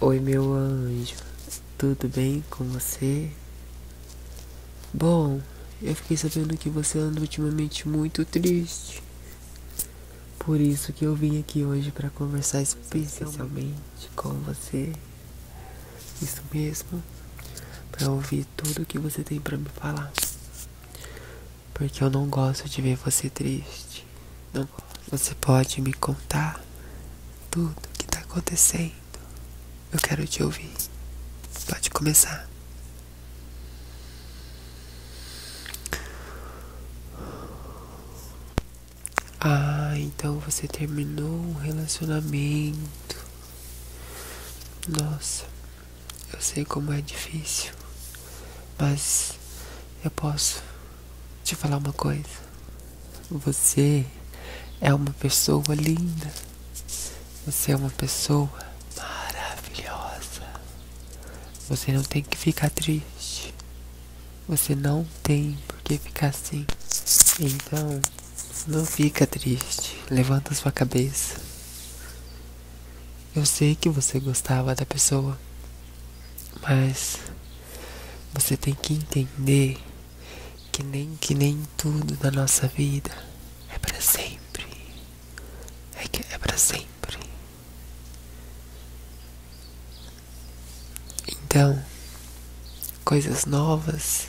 Oi, meu anjo, tudo bem com você? Bom, eu fiquei sabendo que você anda ultimamente muito triste. Por isso que eu vim aqui hoje para conversar especialmente com você. Isso mesmo, para ouvir tudo que você tem para me falar. Porque eu não gosto de ver você triste. você pode me contar tudo o que tá acontecendo. Eu quero te ouvir. Pode começar. Ah, então você terminou um relacionamento. Nossa. Eu sei como é difícil, mas eu posso te falar uma coisa. Você é uma pessoa linda. Você é uma pessoa maravilhosa. Você não tem que ficar triste. Você não tem por que ficar assim. Então, não fica triste, levanta sua cabeça. Eu sei que você gostava da pessoa, mas você tem que entender que nem que nem tudo da nossa vida é para sempre. É que é para sempre. Então, coisas novas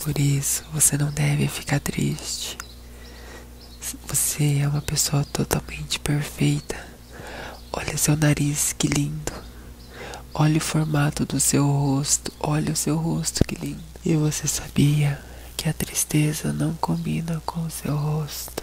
Por isso, você não deve ficar triste. Você é uma pessoa totalmente perfeita. Olha seu nariz, que lindo. Olha o formato do seu rosto. Olha o seu rosto, que lindo. E você sabia que a tristeza não combina com o seu rosto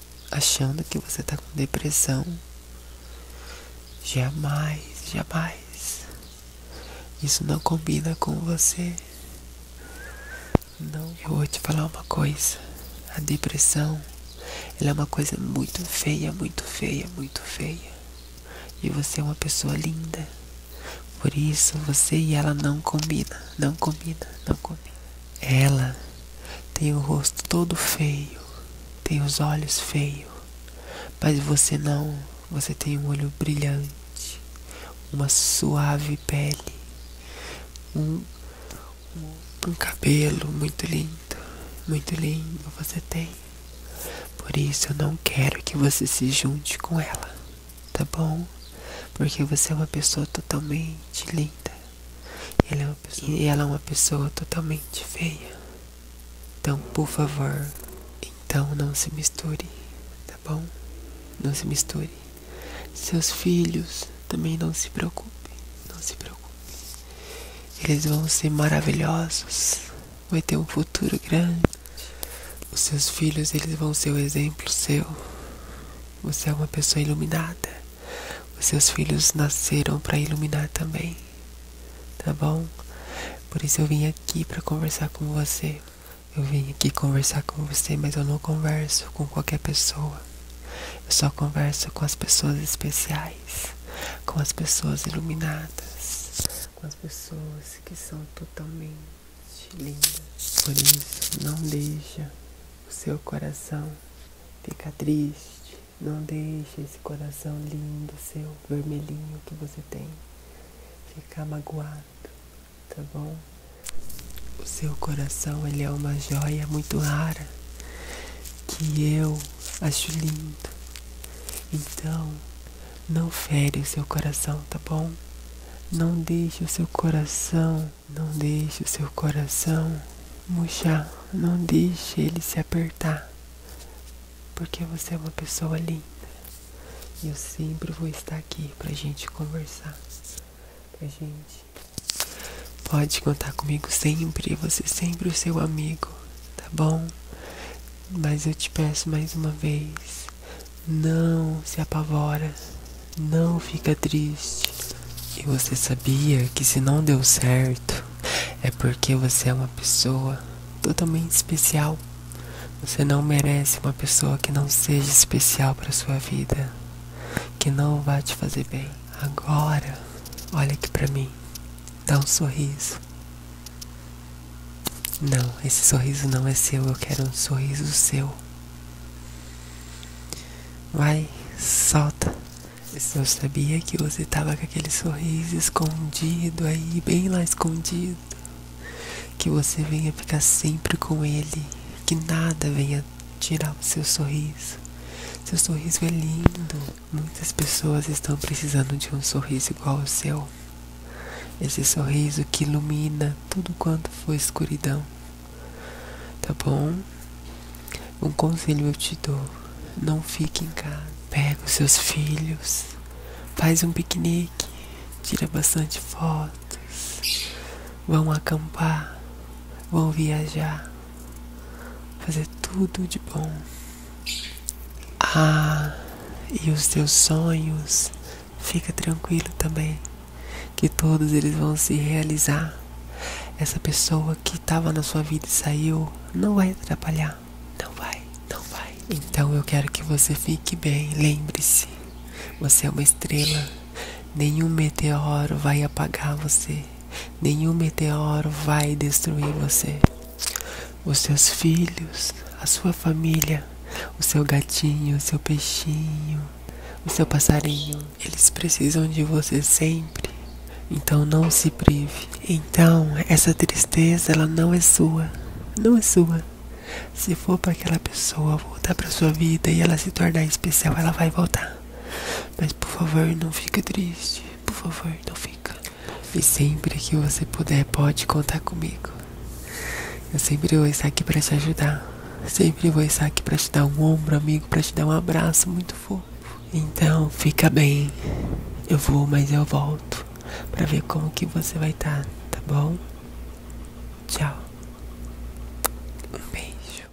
achando que você está com depressão. Jamais, jamais. Isso não combina com você. Não, vou te falar uma coisa. A depressão, é uma coisa muito feia, muito feia, muito feia. E você é uma pessoa linda. Por isso, você e ela não combina, não combina, não combina. Ela tem o rosto todo feio, tem os olhos feios, mas você não, você tem um olho brilhante, uma suave pele, um, um, um cabelo muito lindo, muito lindo você tem. Por isso eu não quero que você se junte com ela, tá bom? Porque você é uma pessoa totalmente linda. Ela é uma pessoa, e ela é uma pessoa totalmente feia. Então, por favor, então não se misture, tá bom? Não se misture. Seus filhos também não se preocupe não se preocupe Eles vão ser maravilhosos, vai ter um futuro grande. Os seus filhos, eles vão ser o exemplo seu. Você é uma pessoa iluminada. Os seus filhos nasceram para iluminar também, tá bom? Por isso eu vim aqui para conversar com você. Eu vim aqui conversar com você, mas eu não converso com qualquer pessoa. Eu só converso com as pessoas especiais, com as pessoas iluminadas, com as pessoas que são totalmente lindas. Por isso, não deixe o seu coração fica triste, não deixe esse coração lindo seu, vermelhinho que você tem, ficar magoado, tá bom? O seu coração, ele é uma joia muito rara, que eu acho lindo. Então, não fere o seu coração, tá bom? Não deixe o seu coração não deixe o seu coração murchar, não deixe ele se apertar, porque você é uma pessoa linda e eu sempre vou estar aqui pra gente conversar, pra gente. Pode contar comigo sempre, você é sempre o seu amigo, tá bom? Mas eu te peço mais uma vez, não se apavora, não fica triste. E você sabia que se não deu certo, é porque você é uma pessoa totalmente especial. Você não merece uma pessoa que não seja especial para sua vida, que não vá te fazer bem. Agora, olha aqui para mim. Dá um sorriso. Não, esse sorriso não é seu, eu quero um sorriso seu. Vai, solta. Eu sabia que você estava com aquele sorriso escondido aí, bem lá escondido. Que você venha ficar sempre com ele. Que nada venha tirar o seu sorriso. Seu sorriso é lindo. Muitas pessoas estão precisando de um sorriso igual ao seu esse sorriso que ilumina tudo quanto foi escuridão, tá bom? Um conselho eu te dou: não fique em casa, pega os seus filhos, faz um piquenique, tira bastante fotos, vão acampar, vão viajar, fazer tudo de bom. Ah, e os teus sonhos Fica tranquilo também, que todos eles vão se realizar. Essa pessoa que estava na sua vida e saiu não vai atrapalhar. Não vai, não vai. Então eu quero que você fique bem. Lembre-se, você é uma estrela. Nenhum meteoro vai apagar você. Nenhum meteoro vai destruir você os seus filhos, a sua família, o seu gatinho, o seu peixinho, o seu passarinho. Eles precisam de você sempre. Então não se prive. Então essa tristeza ela não é sua, não é sua. Se for para aquela pessoa voltar para sua vida e ela se tornar especial, ela vai voltar. Mas por favor, não fique triste. Por favor, não fica. E sempre que você puder, pode contar comigo. Eu sempre vou estar aqui para te ajudar. Sempre vou estar aqui para te dar um ombro, amigo, para te dar um abraço muito fofo. Então, fica bem. Eu vou, mas eu volto para ver como que você vai estar, tá, tá bom? Tchau. Um beijo.